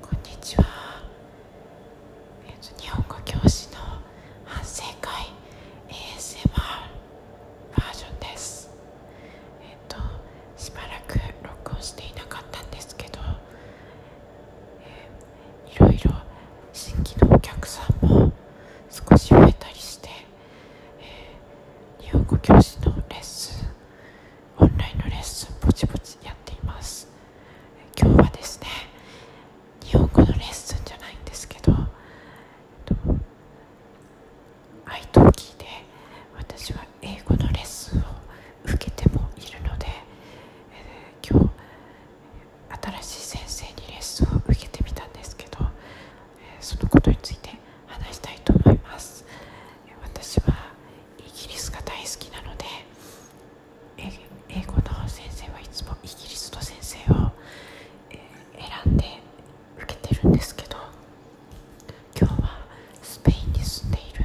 こんにちは、え日本語教師の反省会 ASMR バージョンですえっ、としばらく録音していなかったんですけど、いろいろ新規のお客さんも少し増えたりして、え日本語教師のレッスンオンラインのレッスンぼちぼちやっています今日はですね日本語のレッスンじゃないんですけど愛と聞いて私は英語のレッスンを受けてもいるので、今日新しい先生にレッスンを受けてみたんですけどそのことについて話したいと思います私はイギリスが大好きなので英語の先生はいつもイギリスの先生を選んで受けてるんですけど今日はスペインに住んでいる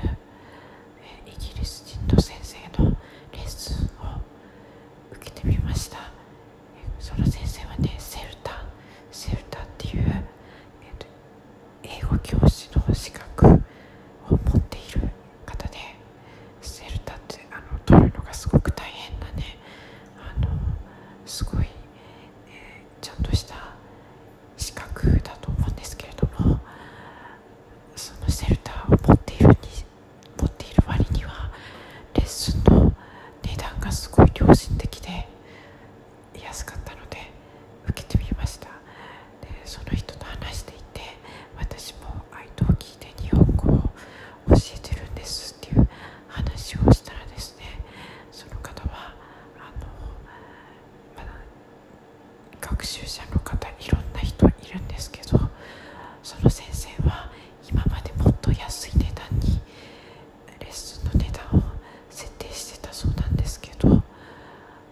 イギリス人の先生のレッスンを受けてみましたその先生はねセルタセルタっていう、えー、英語教師の資格を持っている方でセルタってあの取るのがすごく大変なねあのすごい、えー、ちゃんとした資格だと思うんですけれどもそのセルターを持っているに持っている割にはレッスンの値段がすごい良心的で安かったので受けてみましたでその人と話していて私も愛とを聞いて日本語を教えてるんですっていう話をしたらですねその方はあの、学習者の方いろんな人いるんですけどその先生は今までもっと安い値段にレッスンの値段を設定してたそうなんですけど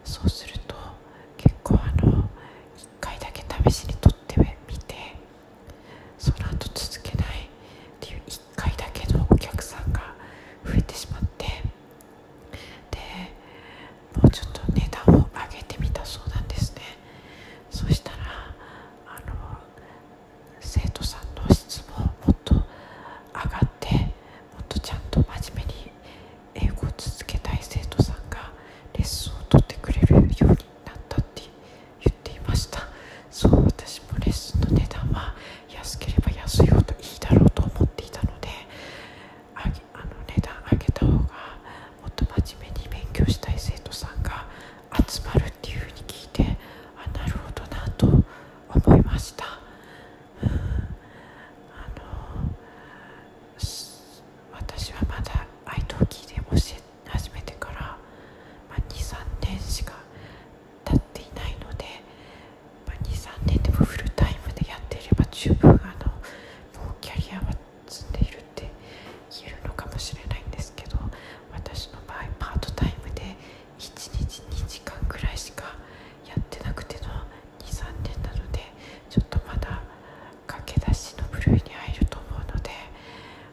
そうすると結構あの1回だけ試しに取ってみてその後続けないっていう1回だけのお客さんが増えてしまってでもうちょっと値段を上げてみたそうなんですねそしたらあの生徒さんの質ももっと上がってもっとちゃんと真面目に英語を続けたい生徒さんがレッスンを取ってくれるようになったって言っていましたそう私もレッスンの値段は安ければ安いほどいいだろうと思っていたのであの値段上げた方がもっと真面目に勉強したい生徒さんが集まるっていうふうに聞いてあなるほどなと思いました。あの私はまだ愛登記で教え始めてから、まあ、23年しか経っていないので、まあ、23年でもフルタイムでやっていれば十分あのキャリアは住んでいるって言えのかもしれないんですけど私の場合パートタイムで1日2時間くらいしかやってなくての23年なのでちょっとまだ駆け出しの部類に入ると思うので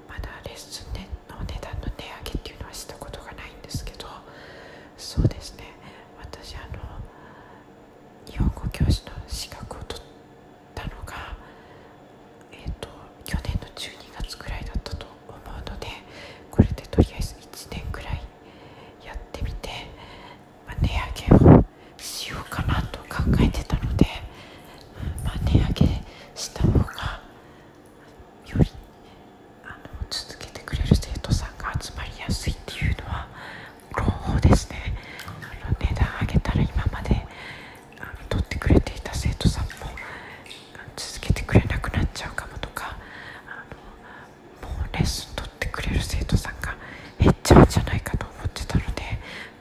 まだレッスンの値段の値上げっていうのはしたことがないんですけどそうですね私あの日本語教師の資格を取たのが、えーと、去年の12月くらいだったと思うのでこれでとりあえず1年くらいやってみて、値上げをしようかなと考えてたので、ま値上げした方がよりあの続けてくれる生徒さんが集まりやすいっていうのは朗報ですねあの値段上げたら今まであ取ってくれていた生徒さんも続けてくれなくなっちゃうかもとかあのもうレッスン取ってくれる生徒さんが減っちゃうんじゃないかと思ってたので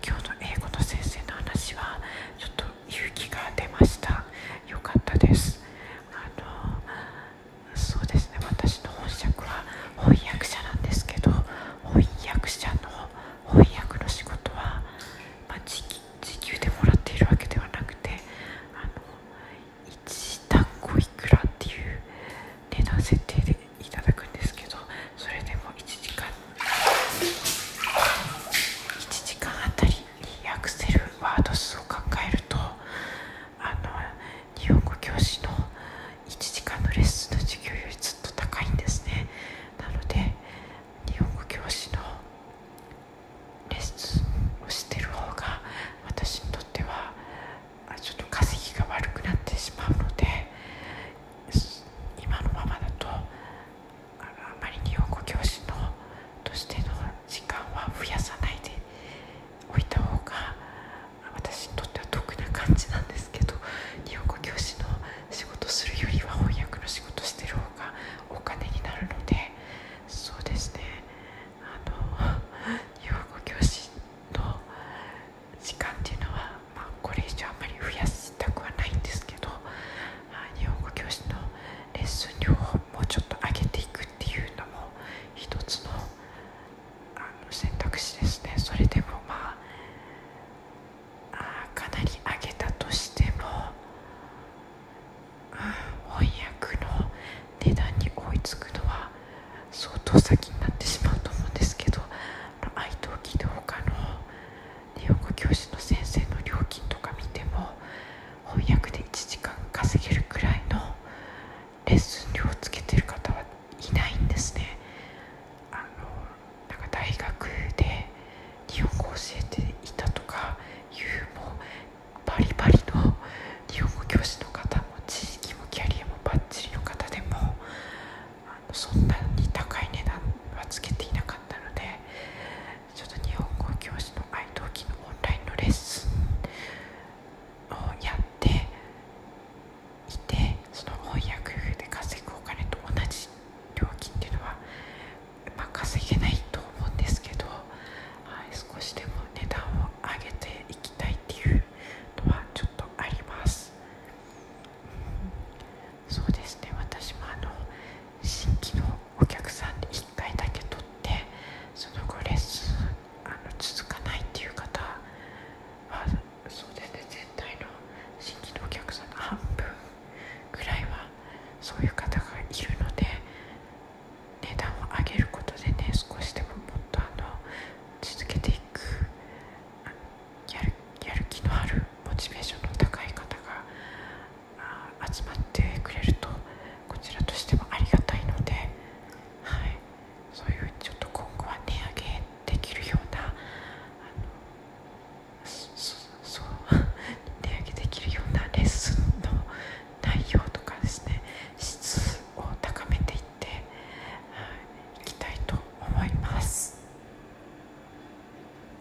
今日の英語の先生の話はちょっと勇気が出ましたよかったですあのそうですね私の本職は翻訳者なんですけど翻訳者の翻訳の仕事は、まあ、時給でもらっているわけではなくてあの1単語いくらっていう値段設定でいただくんですけどそれでも1時間1時間あたりにクセルワード数を考えるとあの日本語教師の1時間のレッスンの授業よりずっと高いんですねなので日本語教師のレッスンをしてる方が私にとってはちょっと稼ぎが悪くなってしまうので今のままだとあまり日本語教師のとしての時間は増やさないでおいた方が私にとっては得な感じなんですけど日本語教師の仕事するよりは翻訳の仕事してる方がお金になるのでそうですねあの日本語教師の時間っていうのは、まこれ以上あまり増やしたくはないんですけど日本語教師のレッスン量をもうちょっと上げていくっていうのも一つのあの選択肢ですねそれでもまあかなり上げたとしても翻訳の値段に追いつくのは相当先になってしまうと思うんですけど愛登記動他の日本語教師の先生の料金とか見ても翻訳で1時間稼げるくらいのレッスン料をつけてる方はいないんですねあのなんか大学で日本語を教えていたとかいうもバリバリの日本語教師の方も地域もキャリアもばっちりの方でもそんなに高い値段はつけていなかったのでちょっと日本語教師の愛登記のオンラインのレッスンをやっていてその翻訳で稼ぐお金と同じ料金っていうのは、まあ、稼げないと思うんですけど、はい、少しでも値段を上げていきたいっていうのはちょっとあります。そうですね私もあの新規のお客さんに1回だけ取ってその後レッスンあの続かないっていう方はそうですね全体の新規のお客さんの半分ぐらいはそういう方がいるので値段を上げることでね少しでももっとあの続けていくやるやる気のあるモチベーションの高い方が集まってくれるとこちらとしてもありがたいので、はい、そういうちょっと今後は値上げできるような 値上げできるようなレッスンの内容とかですね質を高めていっていきたいと思います。